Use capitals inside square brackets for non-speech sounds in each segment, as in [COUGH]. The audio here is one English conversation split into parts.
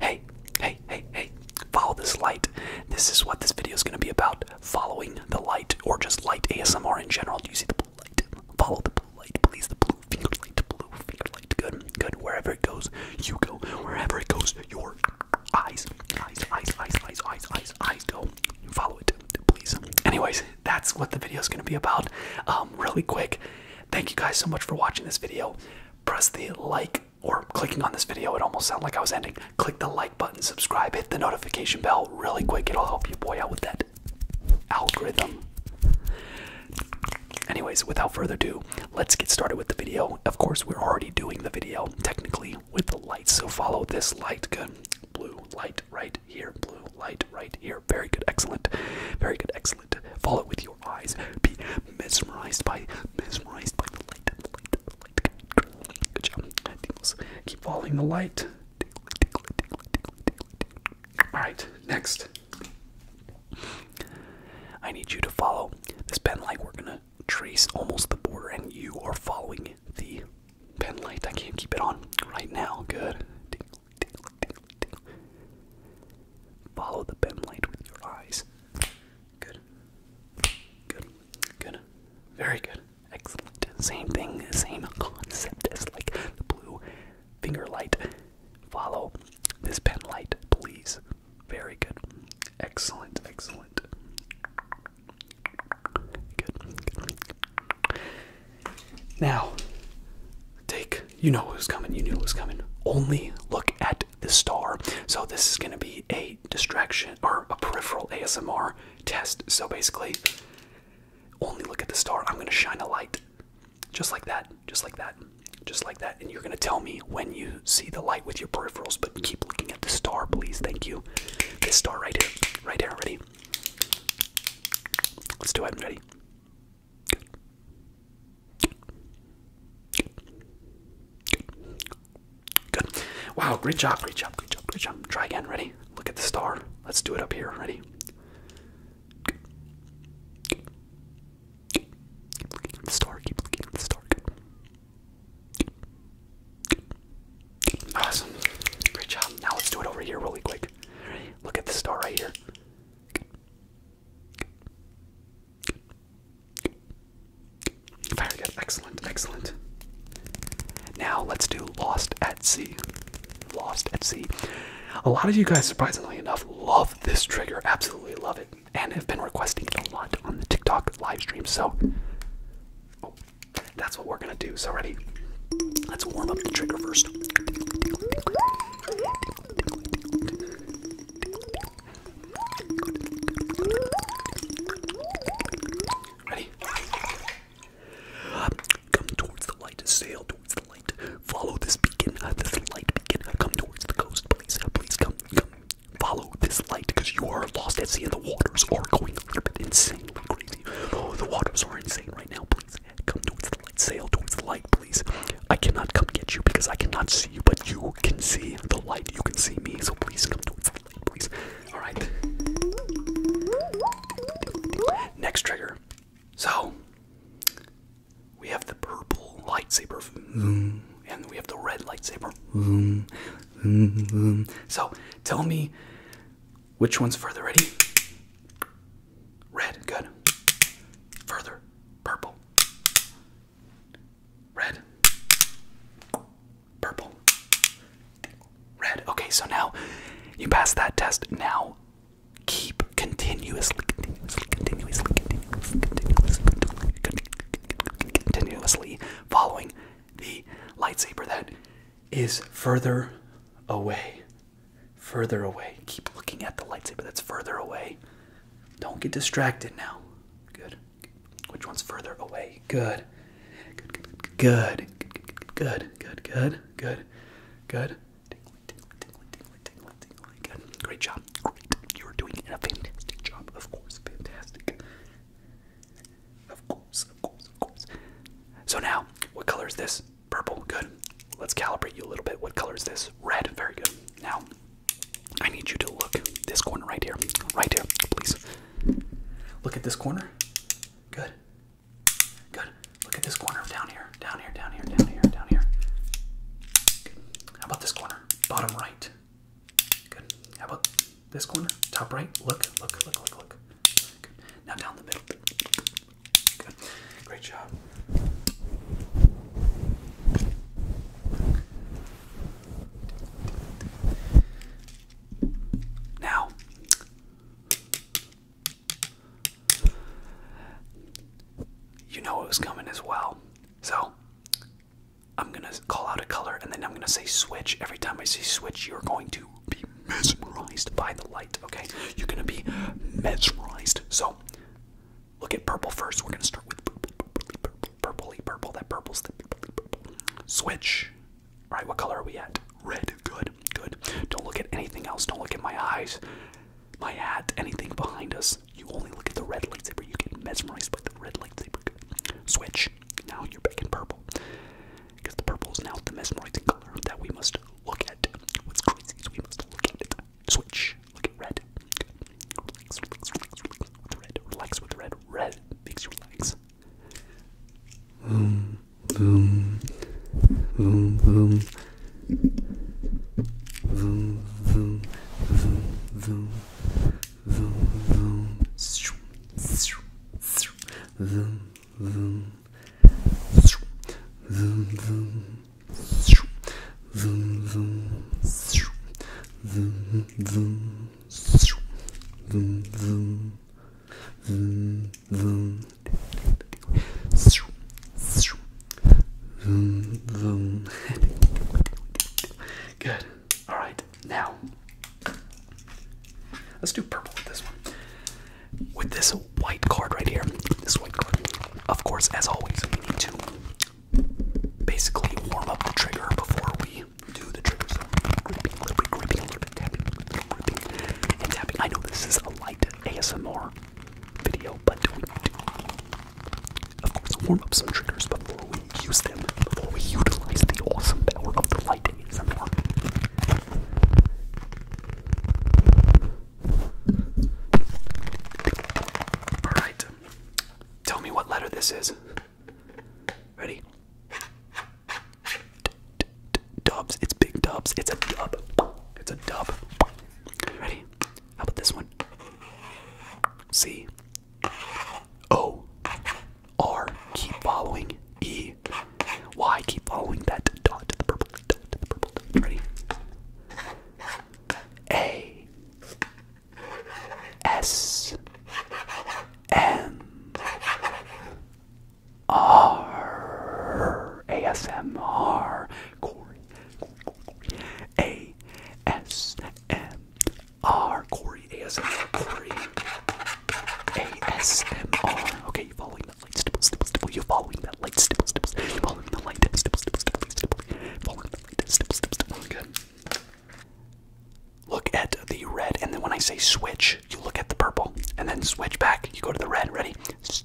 Hey, hey, hey, hey, follow this light. This is what this video is going to be about following the light, or just light ASMR in general. Do you see the blue light? Follow the blue light, please. The blue finger light, blue finger light. Good, good. Wherever it goes, you go. Wherever it goes, your eyes, eyes, eyes, eyes, eyes, eyes, eyes, eyes go. Follow it, please. Anyways, that's what the video is going to be about. Um, really quick. Thank you guys so much for watching this video press the like or clicking on this video, it almost sounded like I was ending. Click the like button, subscribe, hit the notification bell really quick. It'll help you boy out with that algorithm. Anyways, without further ado, let's get started with the video. Of course, we're already doing the video technically with the light, so follow this light. Good. Blue light right here. Blue light right here. Very good. Excellent. Very good. Excellent excellent. Follow with your eyes. Be mesmerized by mesmerized by the light. Good job. Keep following the light. All right, next. I need you to follow this pen light. We're gonna trace almost the border, and you are following the pen light. I can't keep it on right now. Good. Follow the pen light with your eyes. Good. Good. Good. Very good. Excellent. Same thing, same concept as like the blue finger light. Follow this pen light, please. Very good. Excellent. Excellent. Good. Now, take look, you know was coming, you knew it was coming. Only look at the star. So this is going to be a distraction or a peripheral ASMR test. So basically, only look at the star. I'm going to shine a light. Just like that. Just like that. Just like that. And you're going to tell me when you see the light with your peripherals, but keep looking at the star, please. Thank you. This star right here. Right here. Ready? Let's do it. Ready? Good. Wow, great job, great job, great job, great job. Try again, ready? Look at the star. Let's do it up here, ready? the star, keep looking at the star. Awesome. Great job. Now let's do it over here really quick. Look at the star right here. Good. Good. Excellent. Excellent. Now let's do Lost at Sea. Lost at Sea. A lot of you guys, surprisingly enough, love this trigger. Absolutely love it. And have been requesting it a lot on the TikTok live stream. So oh, that's what we're gonna do. So ready? Let's warm up the trigger first. Ready? Come towards the light, sail towards the light. Follow this beacon, uh, this light beacon. Come towards the coast, please. Uh, please come, Follow this light, because you are lost at sea and the waters are going a little bit insanely crazy. Oh, the waters are insane right now, please. Come towards the light. Sail towards the light, please. I cannot come get you because I cannot see you, but you can see the light. You can see me, so please come towards the light, please. Alright. Next trigger. So, we have the purple lightsaber, and we have the red lightsaber. So, tell me which one's further. Ready? Red, good. Further, purple. Red. Purple. Red. Okay, so now you pass that test. Now keep continuously, continuously, continuously, continuously, continuously, continuously following the lightsaber that is further away Further away. Keep looking at the lightsaber that's further away. Don't get distracted now. Good. Which one's further away? Good. Good. Good. Good. Good. Good. Good. Good. Good. Great job. Great. You're doing a fantastic job. Of course. Fantastic. Of course. Of course. Of course. So now, what color is this? Purple, good. Let's calibrate you a little bit. What color is this? Red, very good. Now, I need you to look this corner right here. Right here, please. Look at this corner. Good. Good. Look at this corner down here. Down here, down here, down here, down here. Good. How about this corner? Bottom right. Good. How about this corner? Top right. Look, look, look, look, look. Good. Now down the middle. Great job. Now, you know it was coming as well. So, I'm gonna call out a color and then I'm gonna say switch. Every time I say switch, you're going to be mesmerized by the light, okay? You're gonna be mesmerized. So, look at purple first. We're gonna start with purple, purple, purple, That purple's the purple, switch. right? what color are we at? Red. Good, good. Don't look at anything else. Don't look at my eyes, my hat, anything behind us. You only look at the red lightsaber. You get mesmerized by the red lightsaber. Switch. Now you're back in purple. Because the purple's now the mesmerizing color that we must look at what's crazy is we must look at it. Switch. Look at red. Relax, relax, relax, relax with red. Relax with red. Red makes you relax. Boom, boom, boom, boom. Vroom, vroom, vroom, vroom, vroom, vroom, vroom, vroom, Zoom. Zoom, zoom. Zoom, zoom. Zoom, zoom. Zoom, zoom. Zoom, zoom. Zoom, zoom. Good. All right. Now, let's do purple with this one with this white card right here. This white card. Of course, as always, we need to basically warm up the trigger before we do the triggers. gripping, a little bit, gripping, a little bit, tapping, gripping, and tapping. I know this is a light ASMR video, but do we do, of course, warm up some triggers before we use them, before we utilize the awesome power of the light ASMR. Alright. Tell me what letter this is. Ready? dubs. It's big dubs. It's a dub. It's a dub. Ready? How about this one? C. O. R. Keep following. E. Why keep following that dot to the purple dot to the purple dot? Ready? A S M R A S M R Corey A S M R Corey A S M R Corey A S M R Okay, you following the you're following that light, following the light, Look at the red, and then when I say switch, you look at the purple, and then switch back. You go to the red. Ready? Switch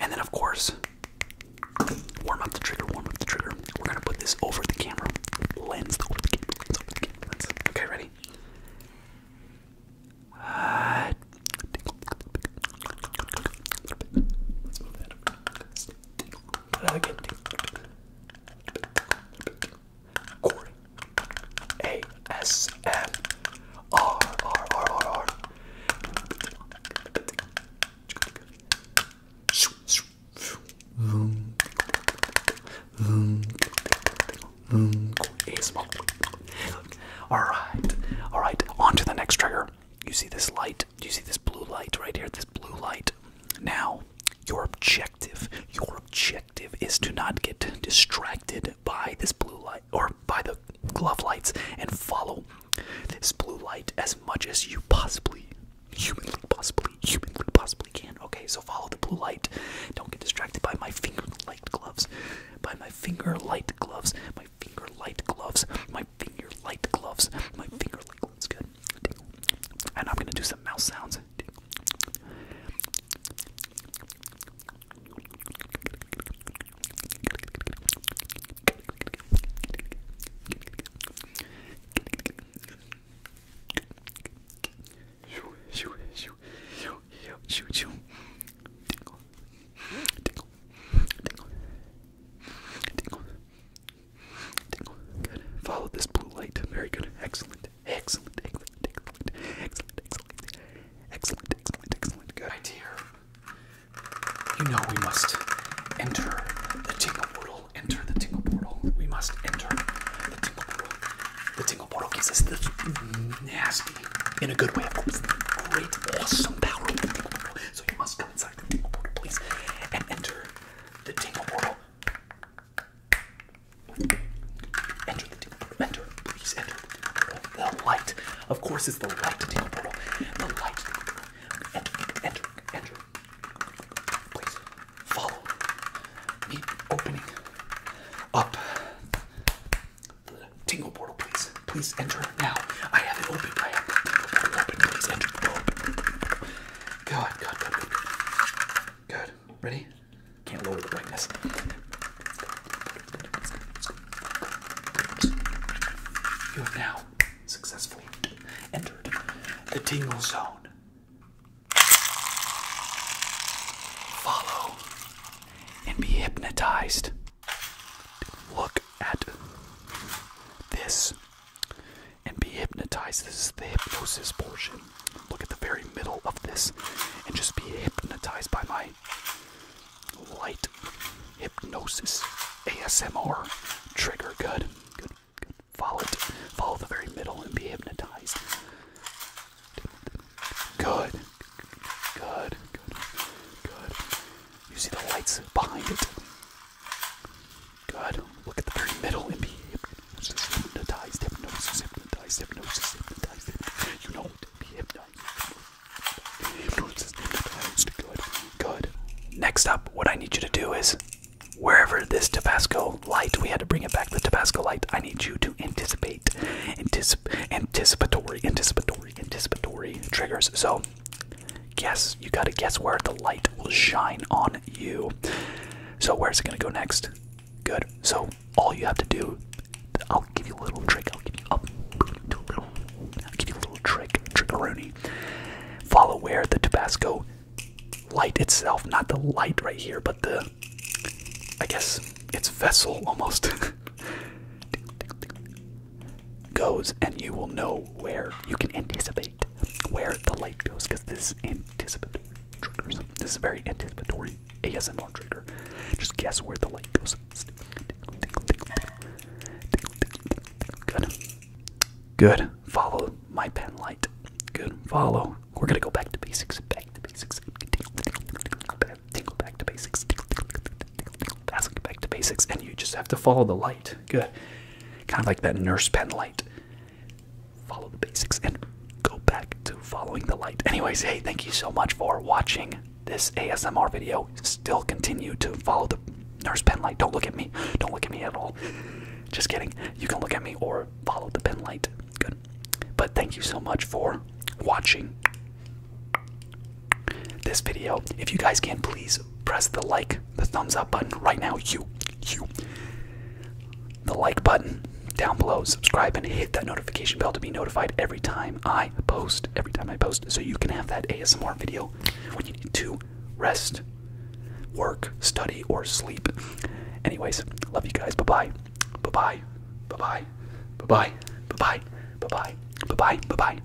And then, of course, warm up the trigger, warm up the trigger. We're gonna put this over the camera lens, over the camera Okay, ready? Uh, Corey. A S M R R R R R. All right, all right. On to the next trigger. You see this light? Do you see this blue light right here? This blue light. Now, your objective, your objective is to not get distracted by this blue light or by the glove lights and follow this blue light as much as you possibly, humanly possibly, humanly possibly can. Okay, so follow the blue light. Don't get distracted by my finger light gloves. By my finger light gloves. My finger light gloves. My finger light gloves. My finger light gloves. Good. And I'm gonna do some mouse sounds. Tingle, tingle, tingle, tingle, tingle, tingle, tingle, tingle, tingle, Follow this blue light. Very good. Excellent. Excellent. Excellent. Excellent. Excellent. Excellent. Excellent. Excellent. Good. My you know we must enter the tingle portal. Enter the tingle portal. We must enter the tingle portal. The tingle portal gives us this nasty, in a good way, of course, great, awesome power So you must come inside the tingle portal, please, enter the tingle portal. Enter the tingle portal. Enter, please, enter the portal. The light. Of course, it's the light tingle portal. The light. Enter, enter, enter. Please follow me opening up the tingle portal, please. Please enter now. I have it open. I have it open. Please God, God, God, good. Good. Ready? Can't lower the brightness. You have now successfully entered the tingle zone. Follow and be hypnotized. Look at this and be hypnotized. This is the hypnosis portion. Look at the very middle of this and just be hypnotized by my light hypnosis ASMR trigger. Good, good, good. Follow it. Follow the very middle and be hypnotized. Good, good, good, good. You see the lights behind it? Good. Look at the very middle and be hypnotized, hypnotized, hypnosis, hypnotized, hypnosis, hypnotized. hypnotized. You know it. Be hypnotized. Hypnosis, hypnotized. Good. Good. Next up, what I need you to do is wherever this Tabasco light, we had to bring it back, the Tabasco light, I need you to anticipate, anticip anticipatory, anticipatory, anticipatory triggers. So guess you gotta guess where the light will shine on you. So, where's it gonna go next? Good. So, all you have to do, I'll give you a little trick. I'll give you, a little, give you a little trick, trickaroni. Follow where the Tabasco light itself, not the light right here, but the, I guess, its vessel almost. [LAUGHS] goes and you will know where you can anticipate where the light goes because this is anticipatory triggers. This very anticipatory ASMR trigger. Just guess where the light goes. Good. Good. Follow my pen light. Good. Follow. We're gonna go back to basics. Back to basics. Back to basics. That's back to basics, and you just have to follow the light. Good. Kind of like that nurse pen light. Follow the basics and go back to following the light. Anyways, hey, thank you so much for watching this ASMR video. Still continue to follow the nurse pen light. Don't look at me. Don't look at me at all. Just kidding. You can look at me or follow the pen light. Good. But thank you so much for watching this video. If you guys can, please press the like, the thumbs up button right now. You, you, the like button down below. Subscribe and hit that notification bell to be notified every time I post. Every time I post, so you can have that ASMR video when you need to rest, work, study, or sleep. Anyways, love you guys. Bye bye. Bye bye. Bye bye. Bye bye. Bye bye. Bye bye. Bye bye. Bye bye.